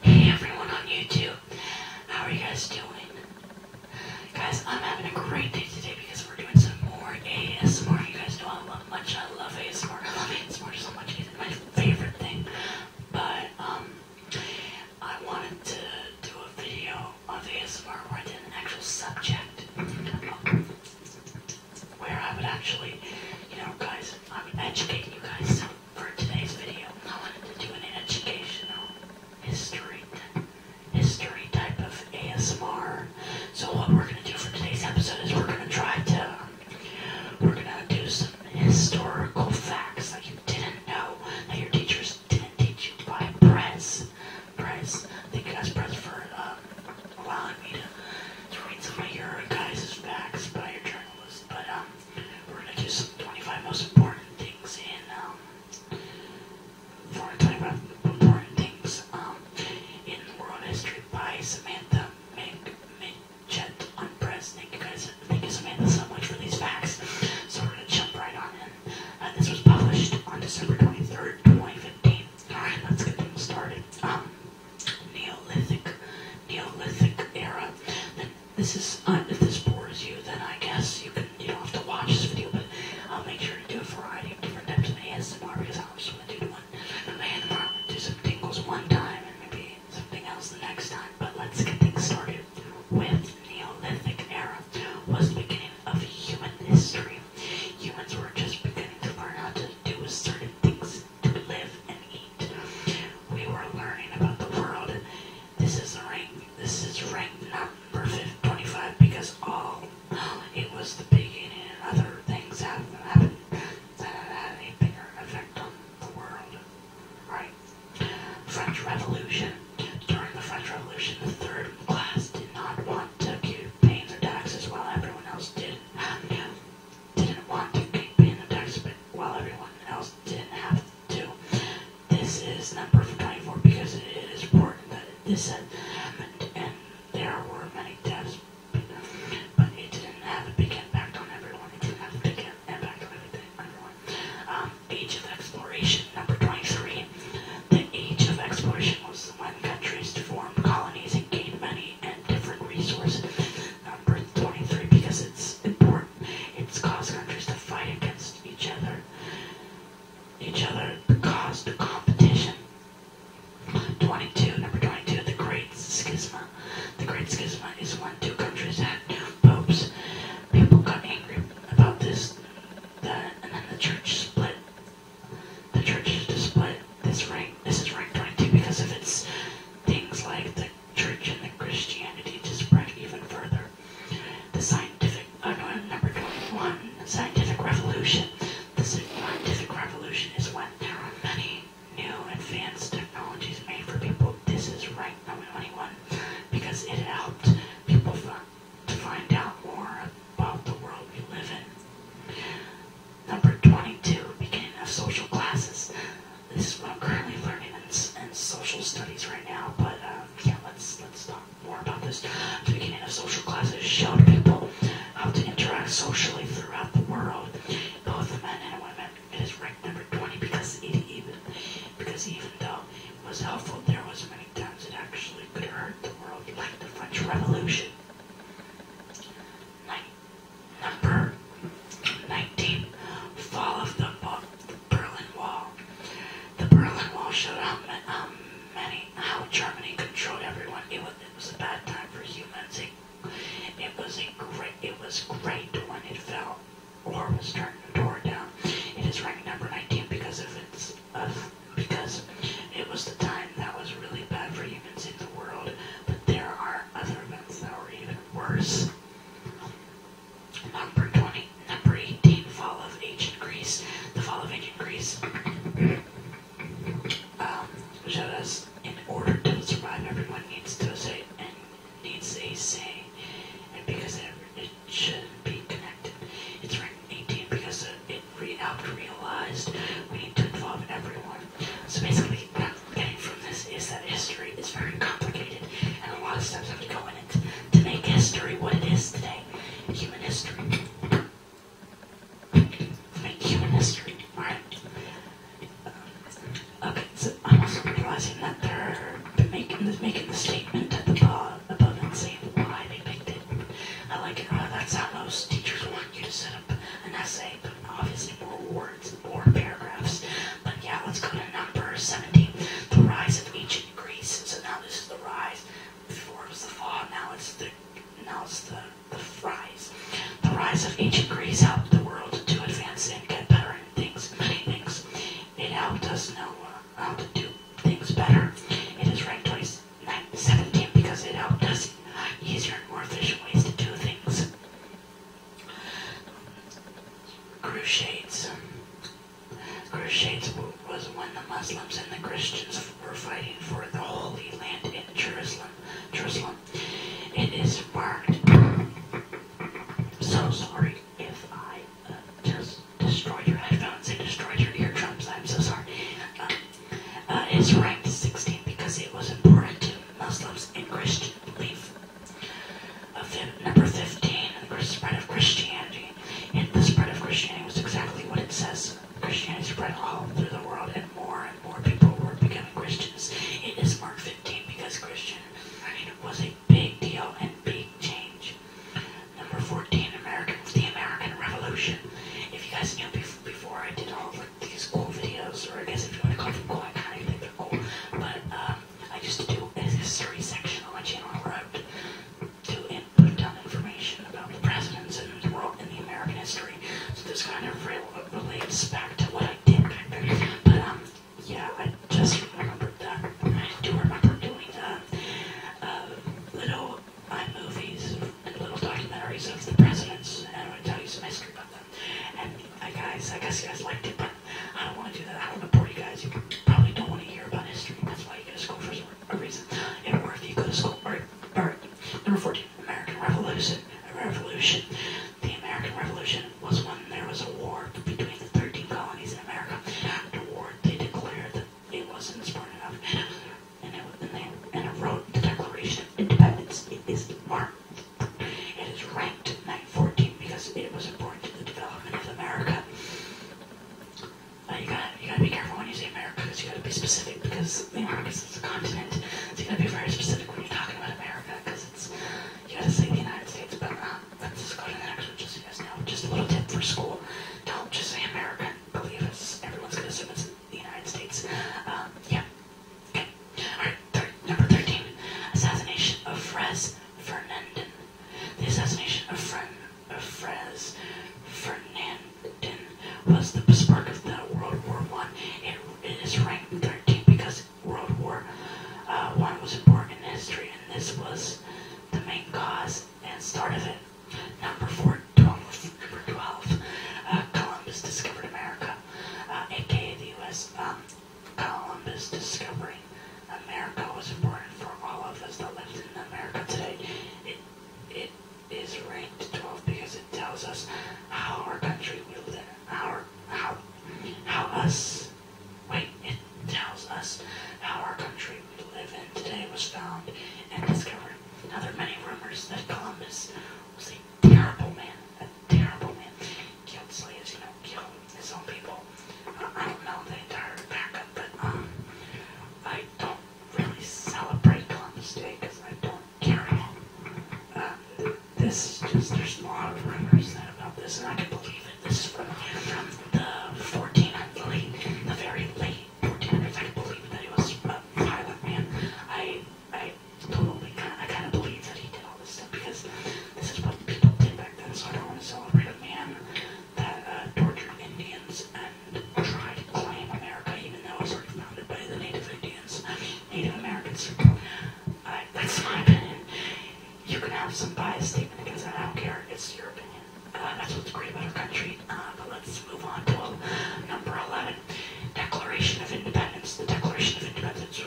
Hey everyone on YouTube, how are you guys doing? Guys, I'm having a great day today because we're doing some more ASMR. You guys know I love much, I love ASMR, I love ASMR so much, it's my favorite thing. But, um, I wanted to do a video of ASMR where I did an actual subject where I would actually, you know, guys, I am educating you guys. for today's video, I wanted to do an educational history, history type of ASMR. So what we're gonna do for today's episode is we're gonna try to, we're gonna do some historical facts that you didn't know that your teachers didn't teach you by press, press. Thank you guys, press for. Uh, allowing me to read some of your guys' facts by your journalists, But um, we're gonna do some 25 most important things in um, we're talk about important things um in world history by Samantha Mitchett on press. Thank you guys. Thank you Samantha so much for these facts. So we're gonna jump right on in. Uh, this was published on December 23rd, 2015. Alright, let's get things started. Um, Neolithic, Neolithic era. this is, uh, if this bores you, then I guess you can, you don't have to watch this video, but I'll make sure to do a variety of different types of ASMR because I am just going to do one, and ASMR, do some tingles one time and maybe something else the next time. But let's get things started with Neolithic era was the beginning of human history. Humans were just beginning to learn how to do certain things to live and eat. We were learning about the world. This is a This is rank number 25 because all oh, it was the beginning and other things have happened that had a bigger effect on the world. Right? French Revolution. During the French Revolution, the third class did not want to accuse paying their taxes while everyone else didn't have to, didn't want to keep paying their taxes, but while everyone else didn't have to. This is number 24 because it is important that this had happened and there were many deaths, but it didn't have a big impact on everyone. It didn't have a big impact on everything, everyone. Um, age of exploration, number 23. The age of exploration was this countries to form colonies and gain money and different resources. Number 23, because it's important, it's caused countries to fight against each other. Each other caused competition. 22, number 22, the Great Schism. The Great Schism is when two countries had popes. People got angry about this, that, and then the church split the church is split. this rank this is ranked 22 because of its things like the church and the Christianity to spread even further. The scientific uh, no, number 21 scientific revolution. The scientific revolution is when there are many new advanced technologies made for people. This is ranked number 21 because it helped people to find out more about the world we live in. Number 22, beginning of social classes. This is what I'm currently learning in, social studies right now, but um, yeah, let's, let's talk more about this. beginning of social classes showed people how to interact socially throughout the world, both men and women. It is ranked number 20 because even, because even though it was helpful, there was many times it actually could hurt the world, like the French Revolution number 19, Fall of the, Berlin Wall. The Berlin Wall showed how, many, how Germany controlled everyone. It was, it was a bad time for humans. It, was a great, it was great when it fell or was turned tore down. It is ranked number 19 because of its because it was the time that was really bad for humans in the world. But there are other events that were even worse. Number twenty, number eighteen, fall of ancient Greece. The fall of ancient Greece um, showed us in order to survive, everyone needs to say and needs a say, and because it, should be connected, it's. right. 18 because it re realized we need to involve everyone. So basically, what I'm getting from this is that history is very complicated, and a lot of steps have to go in it to make history what it is today, human history. make human history, right? Okay, so I'm also realizing that they're making, the statement at the above and saying why they picked it. I like it. Uh, that's how most teachers want you to set up an essay, but obviously more words and more paragraphs. But yeah, let's go to number 17. The rise of ancient Greece. So now this is the rise. Before it was the fall, now it's the now it's the, the rise. The rise of ancient Greece helped the world to advance and get better in things, many things. It helped us know uh, how to do things better. It is right 20, 17 because it helped us easier and more efficient ways to do things. Crusades. Crusades was when the Muslims and the Christians were fighting for the Holy Land in Jerusalem. Jerusalem. It is marked. So sorry if I uh, just destroyed your headphones and destroyed your eardrums. I'm so sorry. Um, uh, is ranked 16 because it was important to Muslims and Christian belief. number 15, the spread of Christianity. And the spread of Christianity was exactly what it says. Christianity spread all through the world, and more and more people were becoming Christians. It is Mark 15 because Christian I mean, was a big deal and big change. Number 14, American, the American Revolution. If you guys knew before, before I did all like these cool videos, or I guess if you want to call them cool, I kind of think they're cool. But um, I used to do a history section on my channel where I would do and put down information about the presidents and the world and the American history. So this kind of real, relates back to what I did back then. But um, yeah, I just remembered that. I do remember doing that um, uh, little my movies and little documentaries of the presidents, and I'm going to tell you some history about them. And I uh, guys, I guess you guys liked it, but I don't want to do that. I don't want to bore you guys. You probably don't want to hear about history. That's why you go to school for a reason. In order if you go to school. All right, all right. Number 14, American Revolution. revolution. The American Revolution was when there was a war between the 13 colonies in America. After war, they declared it wasn't smart enough. And, it, and, they, and it wrote the Declaration of Independence. It is the marked. It is ranked 914 because it was important to the development of America. Uh, you gotta you gotta be careful when you say America because you gotta be specific because the Americas is a continent. So you gotta be very specific when you're talking about America because it's you gotta say the United States. But um, let's just go to the next one just so you guys know. Just a little tip for school: don't just say America. Believe us, everyone's gonna say. it's the United States. Um, yeah. Okay. All right. number thirteen: assassination of Franz Fernandin. The assassination of Fren of Fres Fernandin was the spark of the World War One. It, it is ranked thirteen because World War uh, One was important in history, and this was the main cause and start of it. Number four, Number 12, uh, Columbus discovered America, aka uh, the U.S. Um, Columbus discovering America was important for all of us that live in America today. It, it is ranked 12 because it tells us how our country will live, how, how, how us, wait, it tells us how our country country we live in today was found and discovered. Now there are many rumors that Columbus was a terrible man, a terrible man. Killed slaves, you know, killed his own people. Uh, I don't know the entire backup, but um, I don't really celebrate Columbus Day because I don't care at all. Uh, this is just, there's a lot of rumors about this, and I can believe it. This is from, from the 14th, the late, the very late if I believe that he was a pilot, man, I, I totally, kinda, I kind of believe that he did all this stuff because this is what people did back then. So I don't want to celebrate a man that tortured Indians and tried to claim America, even though it was already founded by the Native Indians, Native Americans. I, that's my opinion. You can have some biased statement because I don't care. It's your opinion. Uh, that's what's great about our country. Uh, but let's move on to number 11, Declaration of Independence. The Declaration of Independence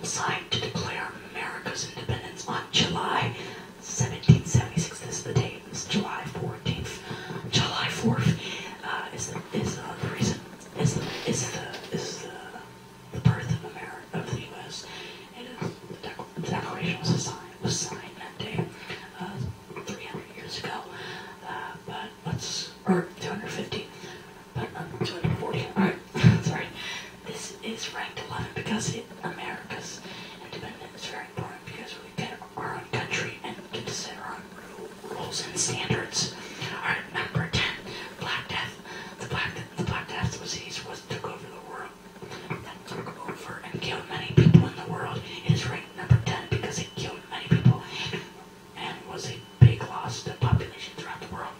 was signed to declare America's independence on July 1776. This is the date. It's July 14th. July 4th uh, is the, is the reason is the is the is the, birth of America of the U.S. It is the, Declaration was signed was signed that day. 300 years ago, uh, but let's, or 250, but 240, alright, sorry. This is ranked 11 because it, America's independence is very important because we get our own country and get to set our own rules and standards. Alright, number 10, Black Death. The Black, the Black Death disease was, took over the world, that took over and killed many people in the world. It is ranked number 10 because it killed many people and was a big loss to population throughout the world.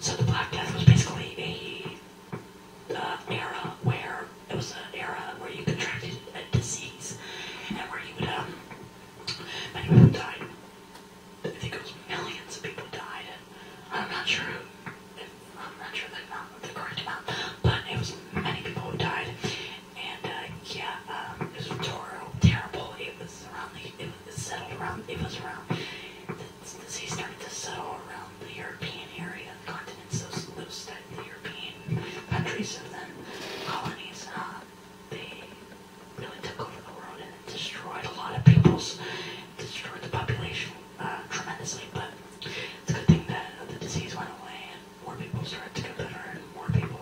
So the Black Death was basically a uh, era where it was an era where you contracted a disease and where you would um many people died. I think it was millions of people died. I'm not sure. I'm not sure the, the correct amount, but it was many people who died, and uh, yeah, um, it was terrible, terrible. It was around the, it was settled around, it was around, the disease started to settle around the European area, the continent, so it started the European countries of then colonies. Uh, they really took over the world and destroyed a lot of peoples, destroyed the population uh, tremendously, but it's a good thing that the disease went away more people started to get better and more people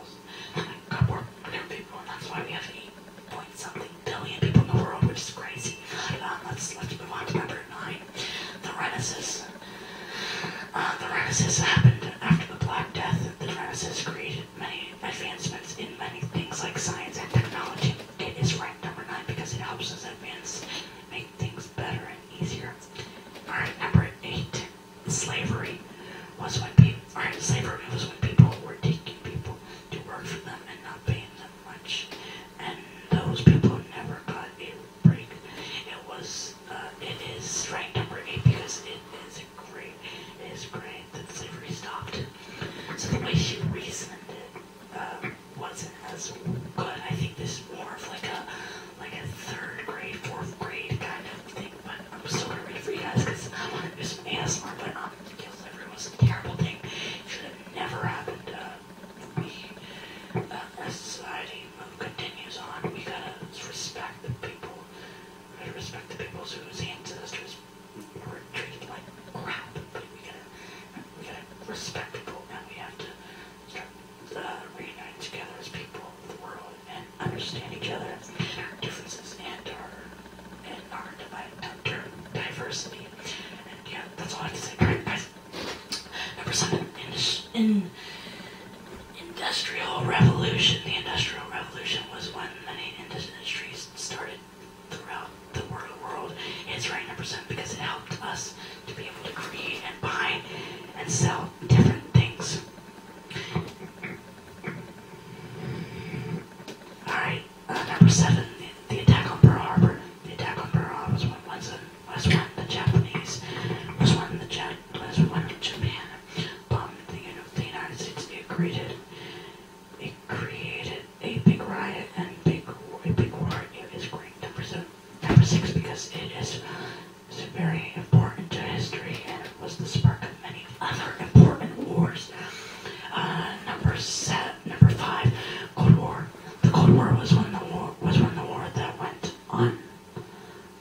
got more better people and that's why we have 8 something billion people in the world, which is crazy. Um, let's, let's move on to number 9. The Renaissance. Uh, the Renaissance happened after the Black Death. The Renaissance created many advancements in many things like science and technology. It is ranked number 9 because it helps us advance, make things better, easier. Alright, number eight. Slavery was when people alright, slavery was when people were taking people to work for them and not paying them much. And those people never got a break. It was uh, it is ranked number eight because it is a great it is great that slavery stopped. So the way she reasoned it uh, wasn't as good. I think this is more of like a like a third grade, fourth grade kind of thing, but I'm still gonna read for you guys because I want to do some ASMR, but um, guilt delivery was a terrible thing. It should have never happened. we, uh, as society continues on, we gotta respect the people. We gotta respect the people whose ancestors were treated like crap, but we gotta, we gotta respect people, and we have to uh, reunite together as people of the world and understand each other, our differences, and our, and our diversity. And yeah, that's all I have to say. All right, guys. Number seven, in, in industrial revolution. The industrial revolution was when many industries started throughout the world. It's right, number seven, because it helped us to be able to create and buy and sell different things. Alright, uh, number seven, the, the, attack on Pearl Harbor. The attack on Pearl Harbor was when, was, was when the Japanese, was when the, Jap was when Japan bombed the, the United States. It created, it created a big riot and big, a big war. It is great. Number seven, number six, because it is was very important to history and it was the spark of many other important wars. Uh, number seven, number five, Cold War. The Cold War was when the war was when the war that went on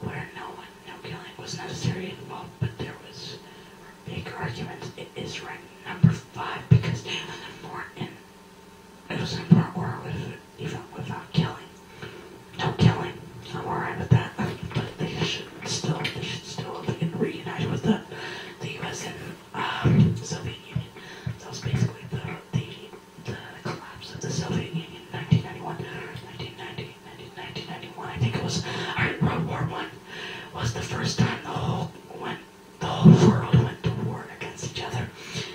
where no one, no killing was necessary involved, but there was big arguments. It is ranked number five because more in it doesn't work well, even without killing. No killing. I'm alright with that. But they should still, they should still be reunited with the, the U.S. and um, Soviet Union. That was basically the, the, collapse of the Soviet Union in 1991, 1990, 1991. I think it was, alright, World War One was the first time the whole, when the whole world went to war against each other.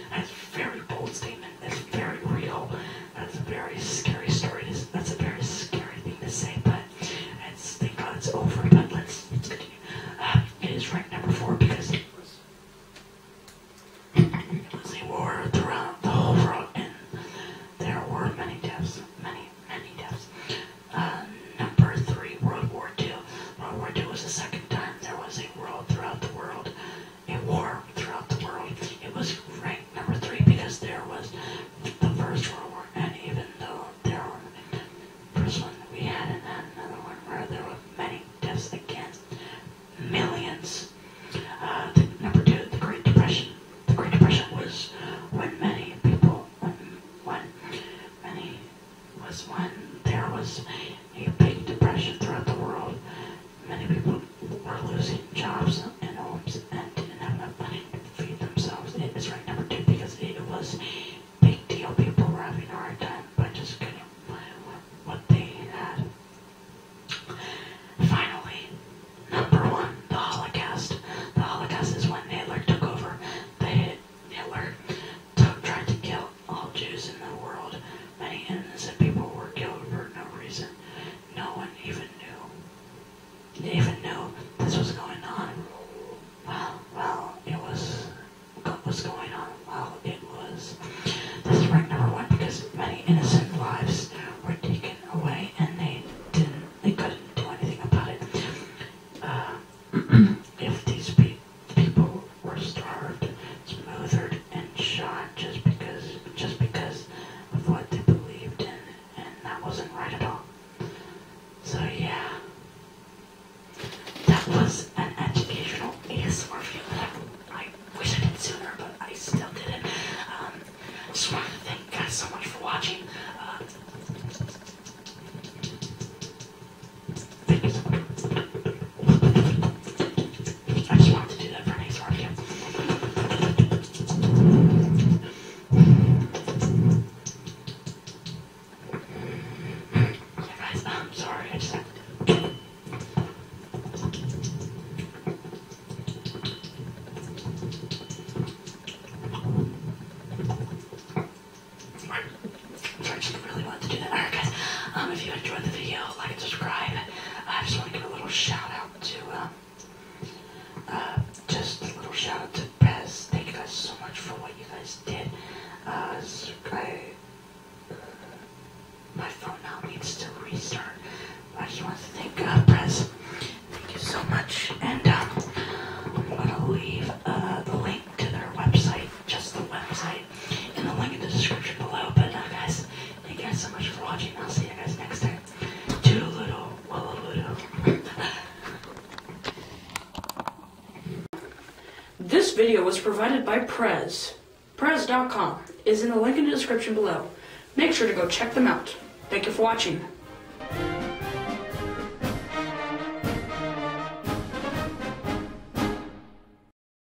That's a very bold statement. It's very real. That's a very scary story. That's a very scary thing to say, but it's, thank God it's over. But let's, let's continue. Uh, it is ranked number four because it was a war throughout the whole world, and there were many deaths, many, many deaths. Uh, number three, World War Two. World War Two was the second time there was a world throughout the world. A war throughout the world. It was ranked number three because there was the First World War, and even though there were first one we had, another one where there were many deaths against millions. Uh, number two, the Great Depression. The Great Depression was when many people, when many was when there was a big depression throughout the world, Many people were losing jobs and homes and didn't have enough money to feed themselves. It is right number two because it was big deal. People were having a hard time but just find what they had. Finally, number one, the Holocaust. The Holocaust is when Hitler took over. The Hitler took, tried to kill all Jews in the world. Many innocent people were killed for no reason. No one even knew. They even knew this was going on. Well, well, it was what was going on. Well, it was. This is rank number one because many innocent lives were taken away and they didn't, they couldn't do anything about it. Uh, if these people were starved, smothered, and shot just because just because of what they believed in, and that wasn't right at all. So yeah, that was an educational ASMR review that I, I wish I did sooner, but I still didn't. Um, just wanted to thank you guys so much for watching. Uh, I just wanted to do that for an ASMR video. Yeah, guys, I'm sorry, I just had to do it. Sorry, I just really wanted to do that. Alright guys, um, if you enjoyed the video, like and subscribe. I just want to give a little shout out to, uh, uh, just a little shout out to Pez. Thank you guys so much for what you guys did. Uh, I, my phone now needs to restart. I just want to thank God, uh, Pez. Thank you so much. And I'm going to leave the link to their website, just the website, in the link in the description below. But guys, Thank you guys so much for watching. I'll see you guys next time. Toodaloo, wallaludo. This video was provided by Prez. Prez.com is in the link in the description below. Make sure to go check them out. Thank you for watching.